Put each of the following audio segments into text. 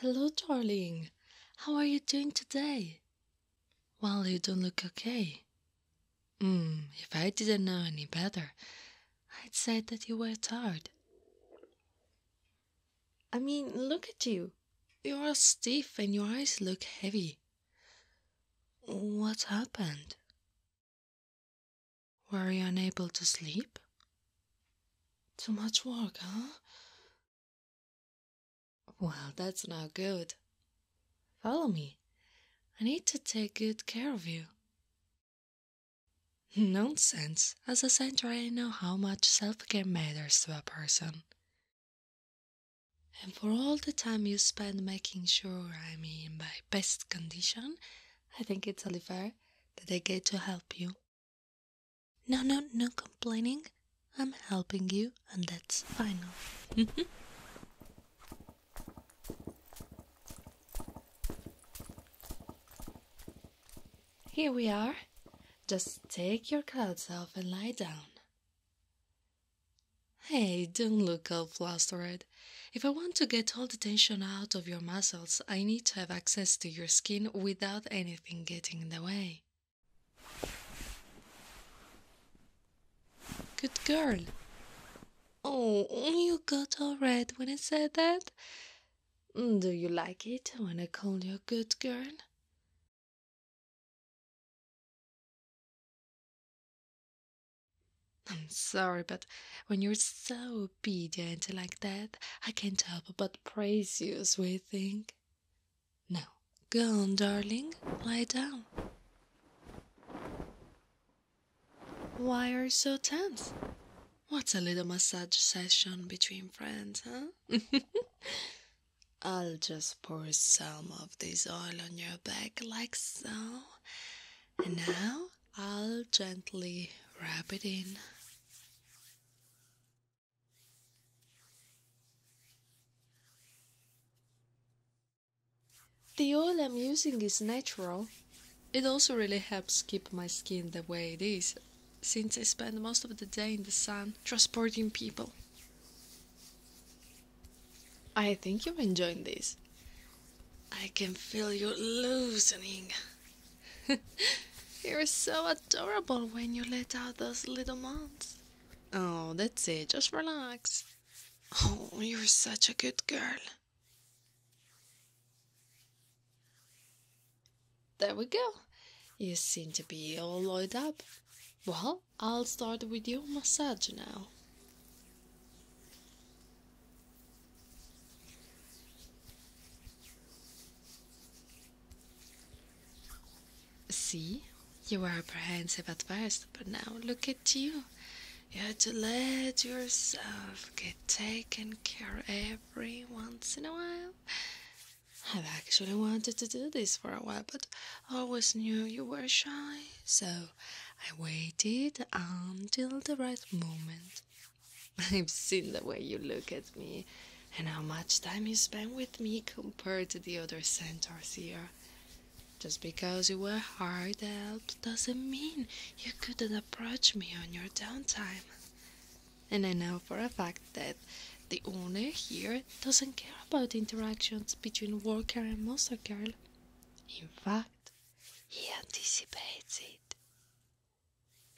Hello, darling. How are you doing today? Well, you don't look okay. Hmm, if I didn't know any better, I'd say that you were tired. I mean, look at you. You're stiff and your eyes look heavy. What happened? Were you unable to sleep? Too much work, huh? Well, that's not good. Follow me. I need to take good care of you. Nonsense. As a center, I know how much self care matters to a person. And for all the time you spend making sure I'm in my best condition, I think it's only fair that I get to help you. No, no, no complaining. I'm helping you, and that's final. Here we are. Just take your clothes off and lie down. Hey, don't look all flushed, flustered. If I want to get all the tension out of your muscles, I need to have access to your skin without anything getting in the way. Good girl. Oh, you got all red when I said that? Mm, do you like it when I call you a good girl? I'm sorry, but when you're so obedient like that, I can't help but praise you, sweet thing. Now, go on, darling, lie down. Why are you so tense? What's a little massage session between friends, huh? I'll just pour some of this oil on your back like so. And now I'll gently wrap it in. The oil I'm using is natural. It also really helps keep my skin the way it is, since I spend most of the day in the sun transporting people. I think you're enjoying this. I can feel you loosening. you're so adorable when you let out those little moans. Oh, that's it. Just relax. Oh, you're such a good girl. There we go. You seem to be all oiled up. Well, I'll start with your massage now. See, you are apprehensive at first, but now look at you. You had to let yourself get taken care every once in a while. I've actually wanted to do this for a while, but I always knew you were shy, so I waited until the right moment. I've seen the way you look at me and how much time you spend with me compared to the other centaurs Just because you were hard up doesn't mean you couldn't approach me on your downtime. And I know for a fact that the owner here doesn't care about interactions between worker and monster girl. In fact, he anticipates it.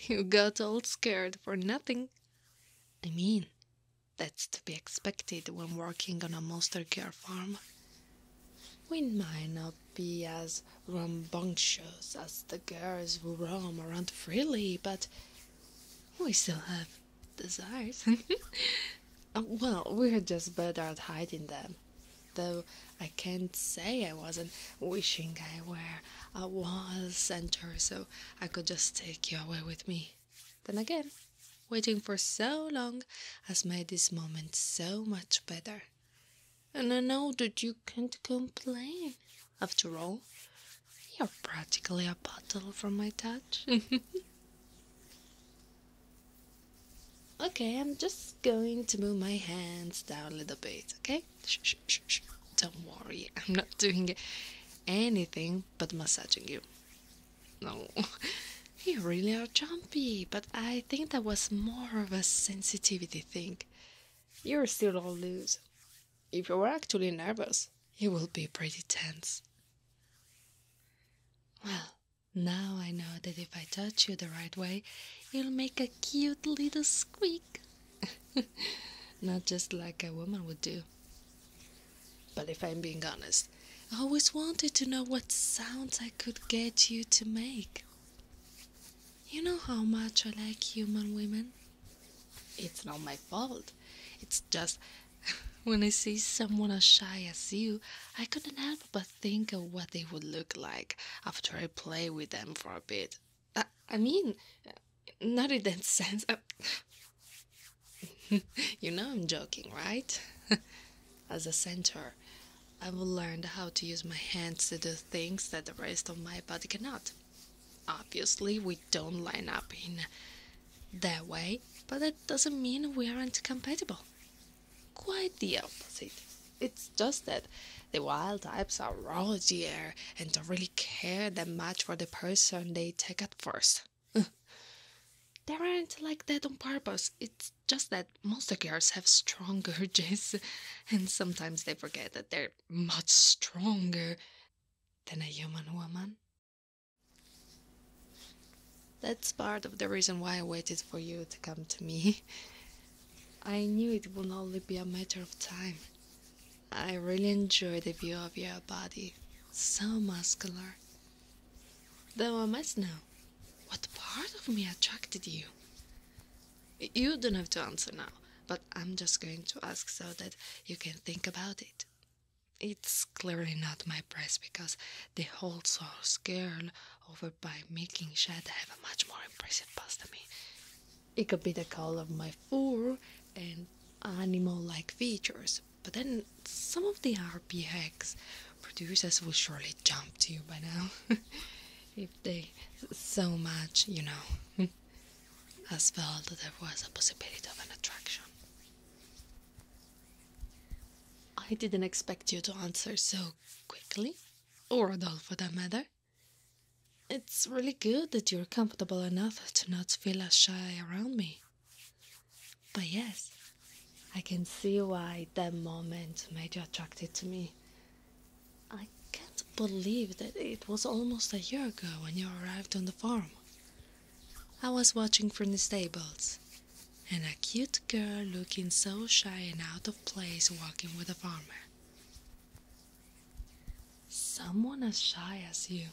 You got all scared for nothing. I mean, that's to be expected when working on a monster girl farm. We might not be as rambunctious as the girls who roam around freely, but we still have desires. Oh, well, we're just better at hiding them. Though I can't say I wasn't wishing I were a wall center so I could just take you away with me. Then again, waiting for so long has made this moment so much better. And I know that you can't complain. After all, you're practically a bottle from my touch. okay, I'm just going to move my hands down a little bit, okay? Shh, shh, shh, shh. Don't worry, I'm not doing anything but massaging you. No. You really are jumpy, but I think that was more of a sensitivity thing. You're still all loose if you were actually nervous, you would be pretty tense. Well, now I know that if I touch you the right way, you'll make a cute little squeak. Not just like a woman would do. But if I'm being honest, I always wanted to know what sounds I could get you to make. You know how much I like human women? It's not my fault. It's just when I see someone as shy as you, I couldn't help but think of what they would look like after I play with them for a bit. I, mean, not in that sense. you know I'm joking, right? as a center, I've learned how to use my hands to do things that the rest of my body cannot. Obviously, we don't line up in that way, but that doesn't mean we aren't compatible. Quite the opposite. It's just that the wild types are rosier and don't really care that much for the person they take at first. they aren't like that on purpose. It's just that most girls have stronger urges and sometimes they forget that they're much stronger than a human woman. That's part of the reason why I waited for you to come to me. I knew it would only be a matter of time. I really enjoy the view of your body, so muscular. Though I must know, what part of me attracted you? You don't have to answer now, but I'm just going to ask so that you can think about it. It's clearly not my press because the whole source girl over by making Shad have a much more impressive past than me. It could be the color of my fur and animal like features, but then some of the RP hacks producers will surely jump to you by now. if they so much, you know, as felt that there was a possibility of an attraction. I didn't expect you to answer so quickly, or at all for that matter. It's really good that you're comfortable enough to not feel as shy around me. But yes, I can see why that moment made you attracted to me. I can't believe that it was almost a year ago when you arrived on the farm. I was watching from the stables, and a cute girl looking so shy and out of place walking with a farmer. Someone as shy as you,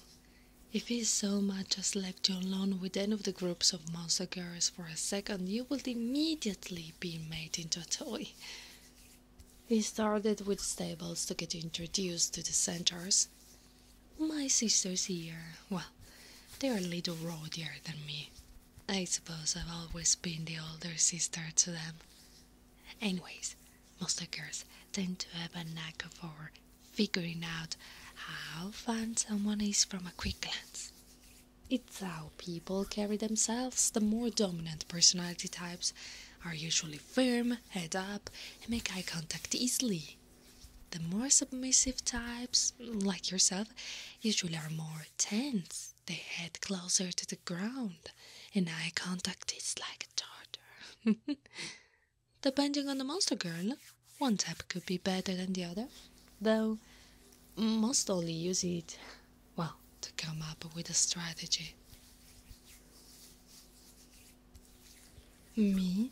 if he so much as left you alone with any of the groups of monster girls for a second, you will immediately be made into a toy. We started with stables to get introduced to the centaurs. My sisters here, well, they are a little rowdier than me. I suppose I've always been the older sister to them. Anyways, monster girls tend to have a knack for figuring out how fun someone is from a quick glance. It's how people carry themselves. The more dominant personality types are usually firm, head up, and make eye contact easily. The more submissive types, like yourself, usually are more tense. They head closer to the ground, and eye contact is like a tartar. Depending on the monster girl, one type could be better than the other, though most only use it, well, to come up with a strategy. Me,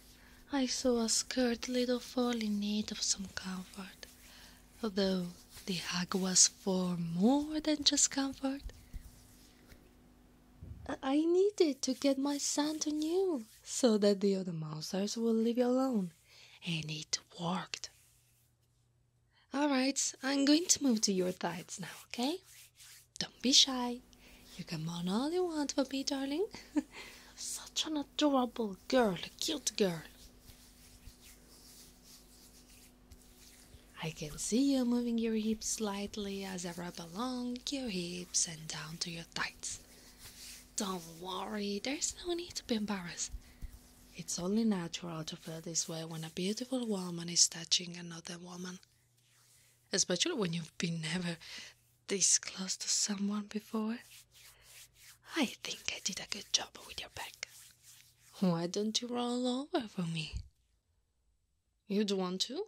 I saw a scared little foal in need of some comfort, although the hug was for more than just comfort. I needed to get my son to new so that the other monsters will leave you alone. And it worked. Alright, I'm going to move to your tides now, okay? Don't be shy. You can moan all you want for me, darling. Such an adorable girl, a cute girl. I can see you moving your hips slightly as I rub along your hips and down to your tights. Don't worry, there's no need to be embarrassed. It's only natural to feel this way when a beautiful woman is touching another woman, especially when you've been never this close to someone before. I think I did a good job with your back. Why don't you roll over for me? You'd want to?